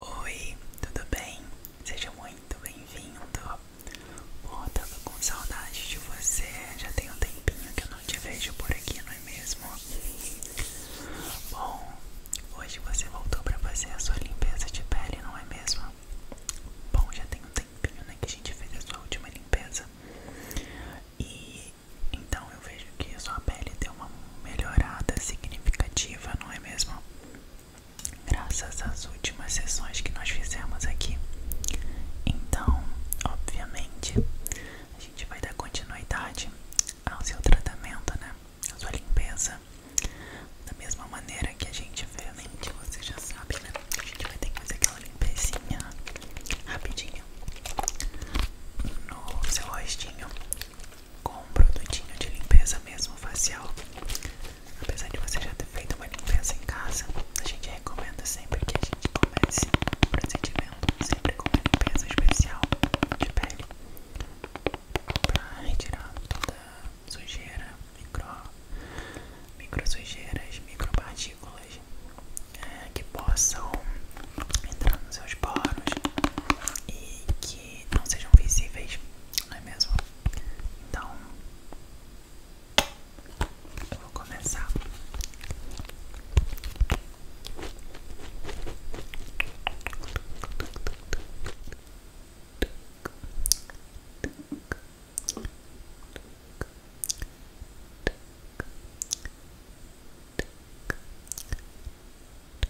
Oi, tudo bem? Seja muito bem-vindo. Bom, tava com saudade de você. Já tem um tempinho que eu não te vejo por aqui, não é mesmo? Bom, hoje você voltou para fazer a sua limpeza de pele, não é mesmo? Bom, já tem um tempinho, né, que a gente fez a sua última limpeza. E então eu vejo que a sua pele deu uma melhorada significativa, não é mesmo? graças às últimas sessões que nós fizemos aqui. Então, obviamente, a gente vai dar continuidade ao seu tratamento, né? A sua limpeza. Da mesma maneira que a gente obviamente, né? você já sabe, né? A gente vai ter que fazer aquela limpezinha rapidinho no seu rostinho com um produtinho de limpeza mesmo facial. Apesar de você já ter feito uma limpeza em casa, a gente recomenda sempre que a gente comece o procedimento sempre com uma limpeza especial de pele para retirar toda sujeira, micro, micro sujeiras, micropartículas é, que possam entrar nos seus poros e que e não sejam visíveis, não é mesmo? Então, vou começar.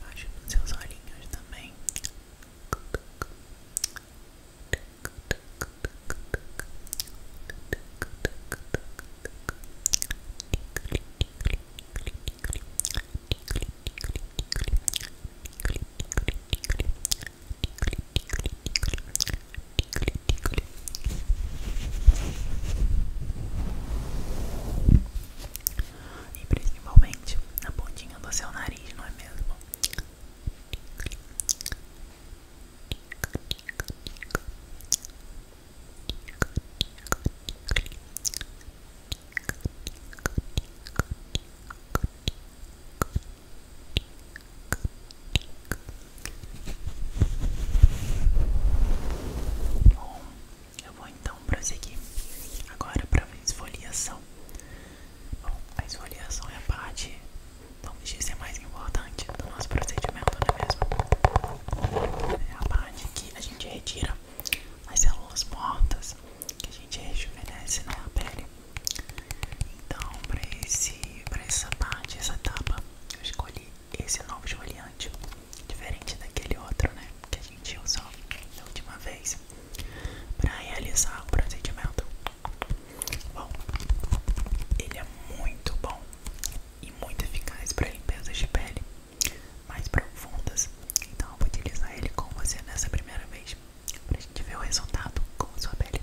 baixo dos seus olhinhos também. E principalmente na pontinha do seu nariz, não é mesmo? Bom, eu vou então prosseguir agora para a esfoliação. Bom, a esfoliação é a parte, vamos dizer, mais importante do nosso procedimento, não é mesmo? É a parte que a gente retira as células mortas que a gente rejuvenesce na pele. Então, para essa parte, essa etapa, eu escolhi escolhi esse novo esfoliante, diferente daquele outro, né, que a gente usou da última vez, para realizar o procedimento. Bom, ele é muito bom e muito eficaz para limpezas de pele mais profundas. Então eu vou utilizar ele com você nessa primeira vez, pra gente ver o resultado com sua pele.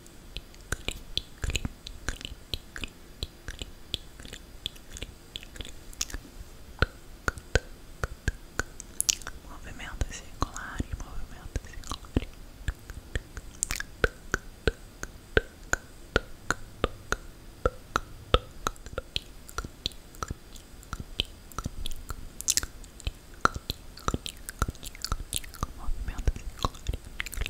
Movimentos circulares, movimentos circulares. Movimento circular.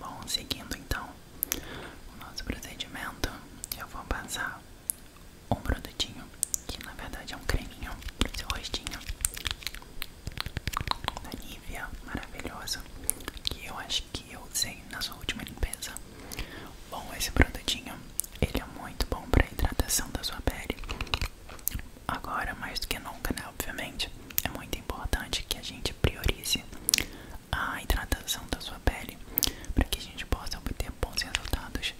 Bom, seguindo então o nosso procedimento, eu vou passar um produtinho que na verdade é um creminho pro seu rostinho da Nivea, maravilhosa, que eu acho que eu usei na sua última limpeza. Bom, esse produtinho, ele é muito bom para hidratação da sua pele. Agora, mais do que nunca, né, obviamente, é muito importante que a gente priorize a hidratação da sua pele para que a gente possa obter bons resultados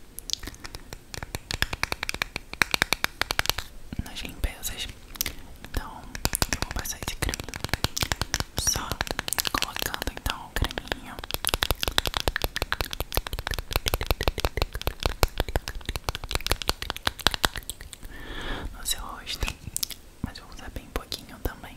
nas limpezas. Então, eu vou passar esse creme só colocando então o creminho. No seu rosto, mas eu vou usar bem pouquinho também.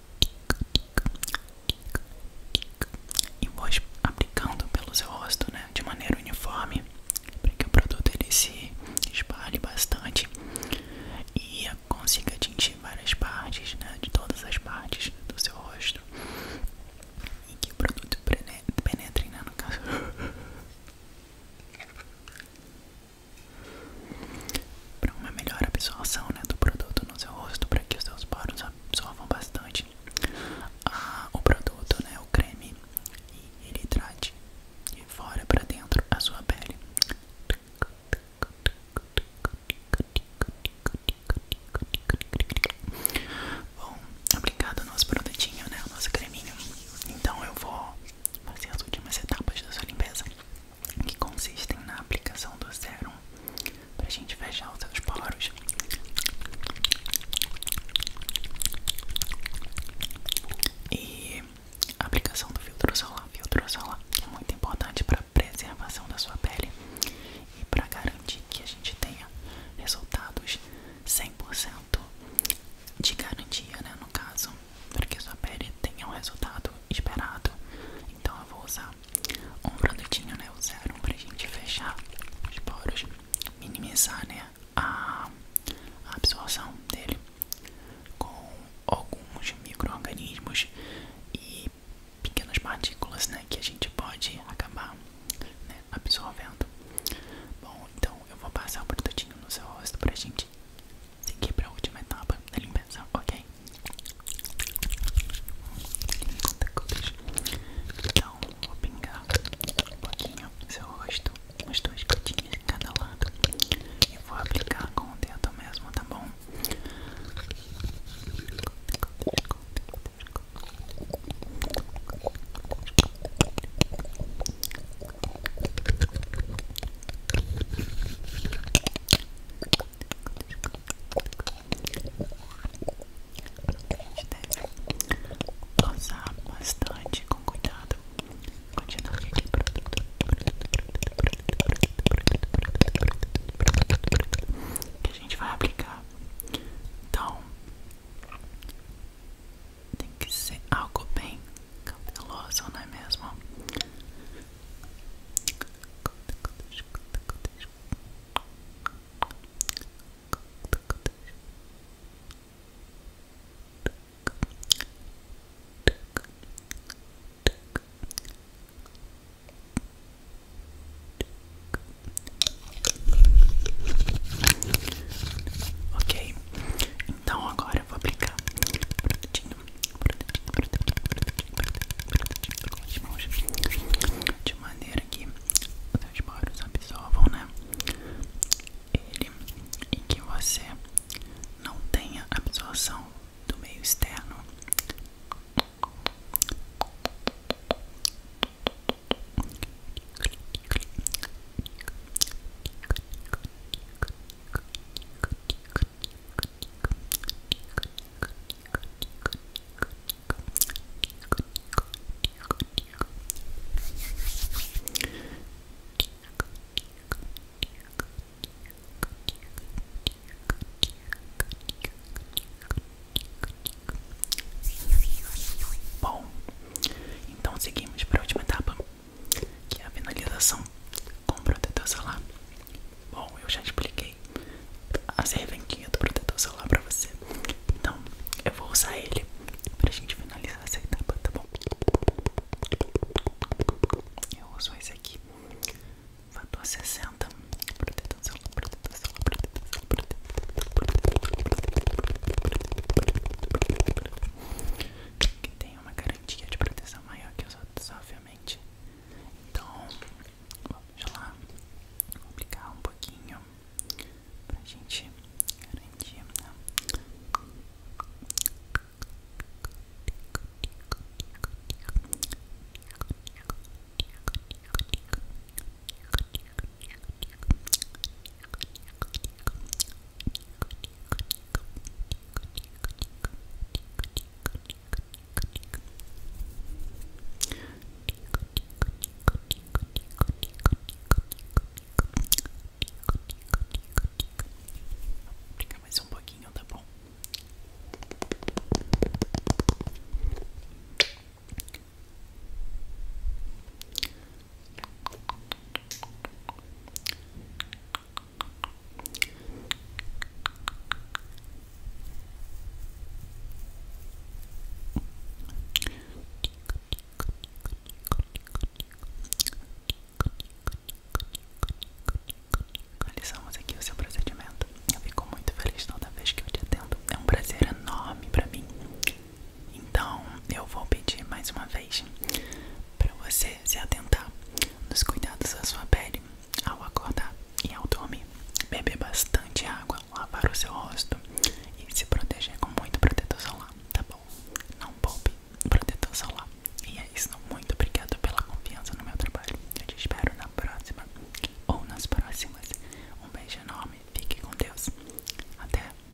e vou aplicando pelo seu rosto, né, de maneira uniforme, para que o produto ele se espalhe bastante e consiga atingir várias partes, né, de todas as partes do seu rosto e que o produto penetre, né, no caso. para uma melhor absorção né, do produto no seu rosto, para que os seus poros absorvam bastante ah, o produto, né, o creme, e ele trate de fora para dentro a sua pele. Bom, obrigado o nosso produtinho, né, o nosso creminho, então eu vou fazer as últimas etapas da sua limpeza que consistem na aplicação do sérum para a gente fechar os seus poros. E a aplicação do filtro solar. Filtro solar é muito importante para preservação da sua pele e para garantir que a gente tenha resultados 100% de garantia, né? No caso, para que sua pele tenha o resultado esperado. Então eu vou usar um produtinho, né, o para a gente fechar os poros, minimizar, né, a, absorção dele com alguns micro-organismos e pequenas partículas, né, que a gente pode acabar né? absorvendo. Bom, então eu vou passar o produtinho no seu rosto para a gente seguir para a última etapa da limpeza, ok? Então, vou pingar um pouquinho no seu rosto, umas duas gotinhas de cada lado, e vou aplicar com o dedo mesmo, tá bom? A gente deve usar bastante com cuidado. Continuar aqui Que a gente vai aplicar. Então, tem que ser algo bem cabeloso, não é mesmo? Ok, então agora eu vou aplicar um produtinho de maneira que os barulhos absorvam, né? Ele e que você não tenha absorção do meio externo. Bom, então seguimos para a última etapa que é a finalização com protetor solar. Bom, eu já expliquei as serventinha do protetor solar pra você. Então, eu vou usar ele pra gente finalizar essa etapa, tá bom? Eu uso esse aqui, fator 60, protetor solar, protetor solar, protetor solar, protetor solar, protetor solar, que tem é uma garantia de proteção maior que os outros, obviamente. Então, vamos lá, vou aplicar um pouquinho pra gente garantir, né? Fica mais um pouquinho, tá bom? Realizamos aqui o seu procedimento. Eu fico muito feliz toda vez que eu te atendo. É um prazer enorme pra mim então eu vou pedir mais uma vez para você se atentar nos cuidados da sua pele ao acordar e ao dormir. Beber bastante água, lavar o seu rosto e se proteger com muito protetor solar, tá bom? Não poupe protetor solar. E é isso, muito obrigado pela confiança no meu trabalho. Eu te espero na próxima ou nas próximas. Um beijo enorme, fique com Deus. Até!